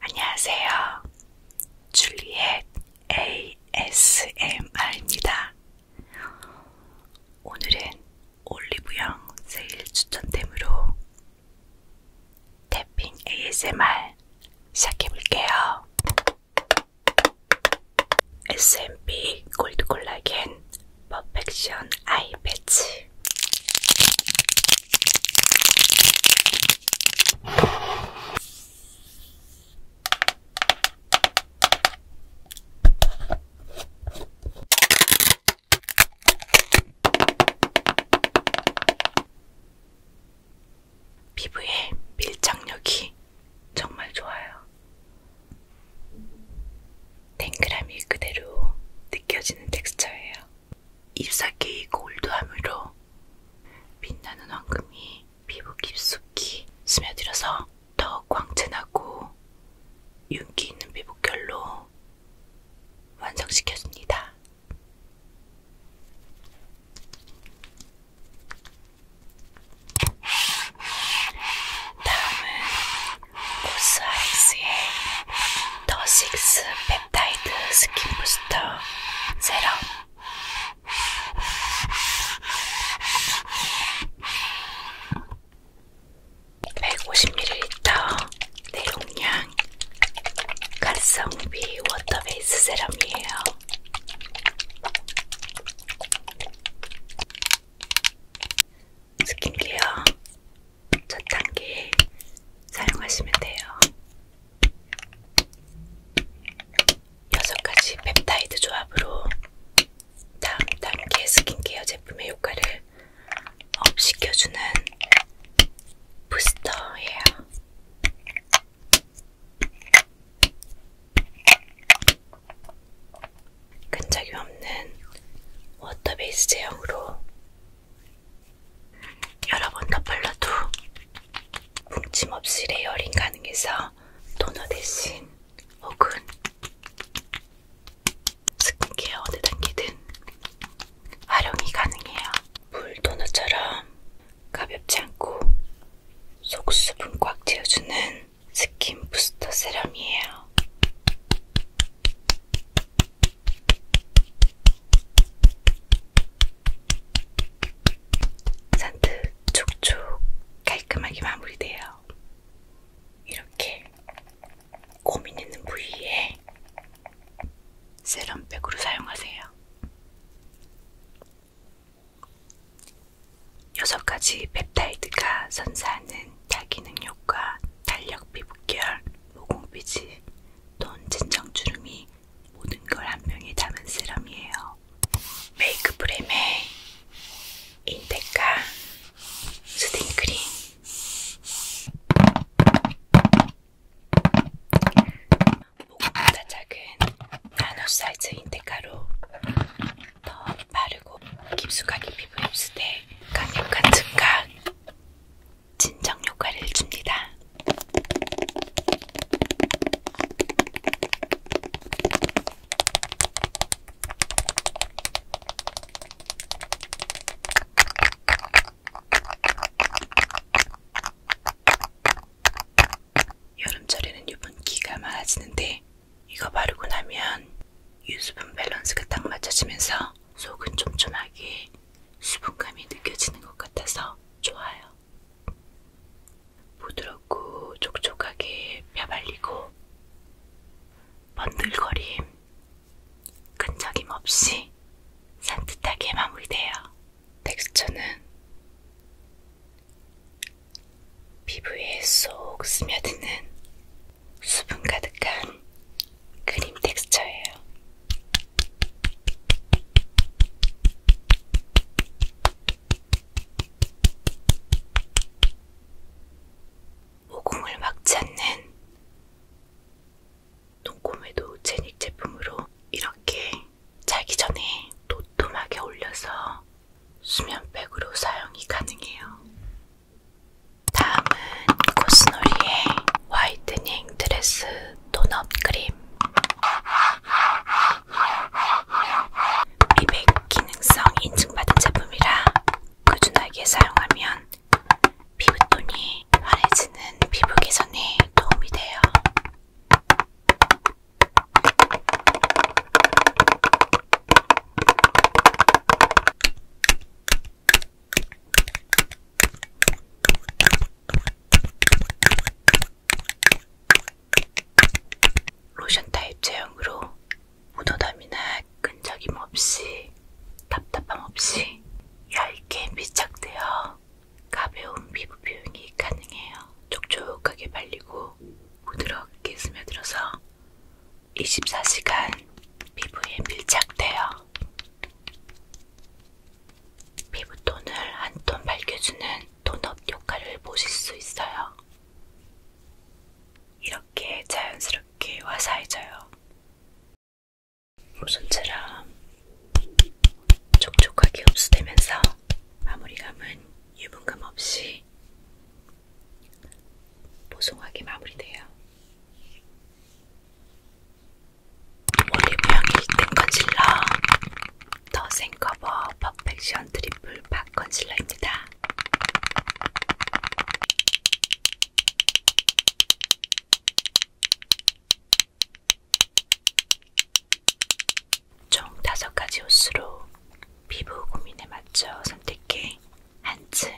안녕하세요. 줄리엣 ASMR입니다. 오늘은 올리브영 세일 추천템으로 태핑 ASMR 시작해볼게요. S&P 골드 콜라겐 퍼펙션 아이 패치 피부의 밀착력이 정말 좋아요. 탱글함이 그대로 느껴지는 텍스처예요. 잎사귀 골드함으로 빛나는 황금이 피부 깊숙이 스며들어서 더욱 광채나고 윤기 있는 피부결로 완성시켰습니다. 다음은 고스하이스의 더식스 펩타이드 스킨 부스터 세럼 백오십 밀리리터 내용량 가성비 워터베이스 세럼이에요. 스킨케어 첫 단계에 사용하시면 돼요. 여섯 가지 펩타이드 조합으로 다음 단계 스킨케어 제품의 효과를 업 어, 시켜주는 부스터예요. 끈적이 없는 워터베이스 제형으로 여러 번더 발라도 뭉침없이 레이어링 가능해서 토너 대신 혹은 스킨케어 어느 단계든 활용이 가능해요. 물 토너처럼 가볍지 않고 속 수분 꽉 채워주는 스킨 부스터 세럼이에요. 산뜻 촉촉 깔끔하게 마무리돼요. 이렇게 고민 있는 부위에 세럼백으로 사용하세요. 여섯 가지 펩타이드가 선사하는 다기능 효과, 탄력 피부결, 모공비지 돈 진정주름이 모든 걸한 병에 담은 세럼이에요. 메이크 프렘에 인테카 스팅크림 목보다 작은 나노 사이즈 인테카로 더 빠르고 깊숙하게 피부 흡수돼 강력한 증강 진정 효과를 줍니다. 여름철에는 유분기가 많아지는데 이거 바르고 나면 유수분 밸런스가 딱 맞춰지면서 속은 촘촘하게 수분감이 느껴지는 것 같아서 좋아요. 부드럽고 촉촉하게 펴발리고 번들거림, 끈적임 없이 산뜻하게 마무리돼요. 텍스처는 피부에 쏙 스며드는 수분 가득한 크림 텍스처예요. 모공을 막지 않는 눈꼬매도 제닉 제품으로 이렇게 자기 전에 도톰하게 올려서 수면백으로 사용이 가능해요. 다음은 코스놀이의 화이트닝 드레스 톤업 크림. 미백 기능성 인증받은 제품이라 꾸준하게 사용하면 피부톤이 환해지는 피부 개선에 도움이 돼요. 로션 타입 제형으로 무도담이나 끈적임 없이 답답함 없이 얇게 밀착되어 가벼운 피부 표현이 가능해요. 촉촉하게 발리고 부드럽게 스며들어서 24시간 피부에 밀착돼요. 피부톤을 한 톤 밝혀주는 톤업 효과를 보실 수 있어요. 이렇게 자연스럽게 화사해져요. 무손처럼 촉촉하게 흡수되면서 마무리감은 유분감 없이 보송하게 마무리돼요. 올리브 향 1등 컨실러 더 생 커버 퍼펙션 트리플 팟 컨실러입니다. 총 5가지 호수로 피부 고민에 맞춰 선택해 한층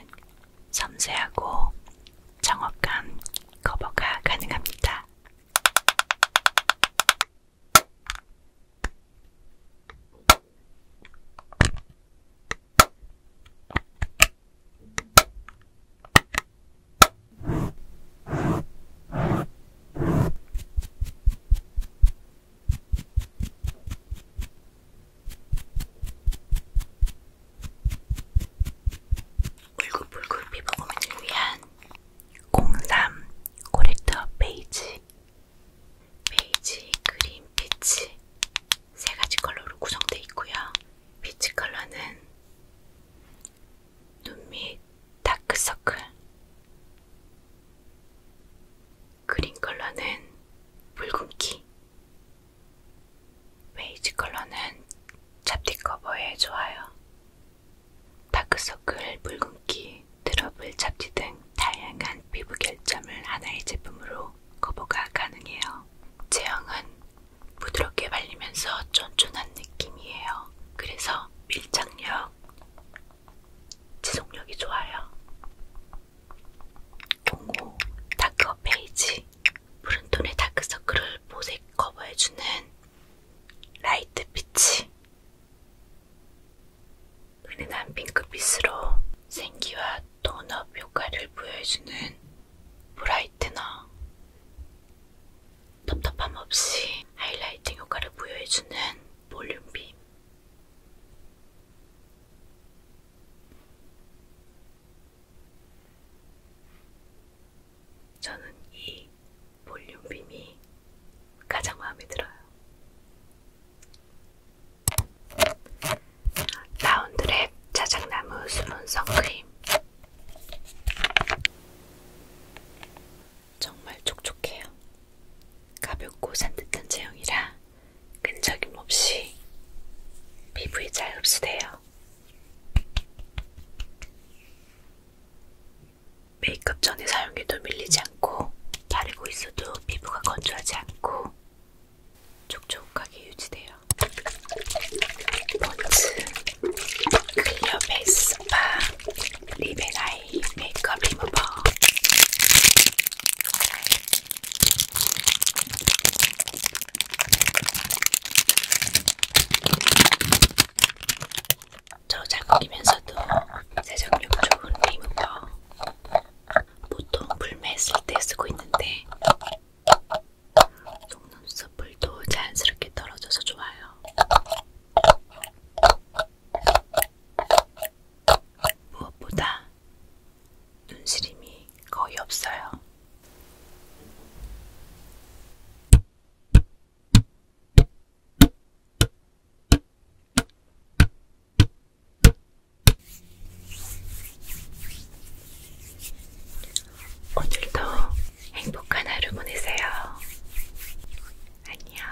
섬세하고 정확한 커버가 가능합니다. 울긋불긋 피부고민을 위한 03 코렉터 베이지 베이지, 그린, 피치 세 가지 컬러로 구성되어 있고요. 피치 컬러는 눈밑 다크서클 그린 컬러는 붉은기, 베이지 컬러는 잡티 커버에 좋아요. 다크서클, 붉은기, 트러블, 잡티 등 다양한 피부 결점을 하나의 제품으로 커버가 가능해요. 제형은 부드럽게 발리면서 쫀쫀한 느낌이에요. 그래서 밀착력, 지속력이 좋아요. 공호 다크 페이지 푸른톤의 다크서클을 보색 커버해주는 라이트 빛이 은은한 핑크빛으로 생기와 톤업 효과를 부여해주는 브라이트너 텁텁함 없이 하이라이팅 효과를 부여해주는 볼륨빔 저는 이 볼륨빔이 가장 마음에 들어요. 라운드랩 자작나무 수분 선크림 정말 촉촉해요. 가볍고 산뜻한 제형이라 끈적임 없이 피부에 잘 흡수돼요. 메이크업 전에 사용해도 밀리지 않고 바르고 있어도 피부가 건조하지 않고 촉촉하게 유지돼요. 본즈 클리어 베이스 스파 립앤아이 에이 메이크업 리무버 저작거리면서도 세정력 좋은 리무버 보통 불매했을 때 쓰고 있는데 속눈썹불도 자연스럽게 떨어져서 좋아요. 무엇보다 눈시림이 거의 없어요. 오늘도 행복한 하루 보내세요. 안녕.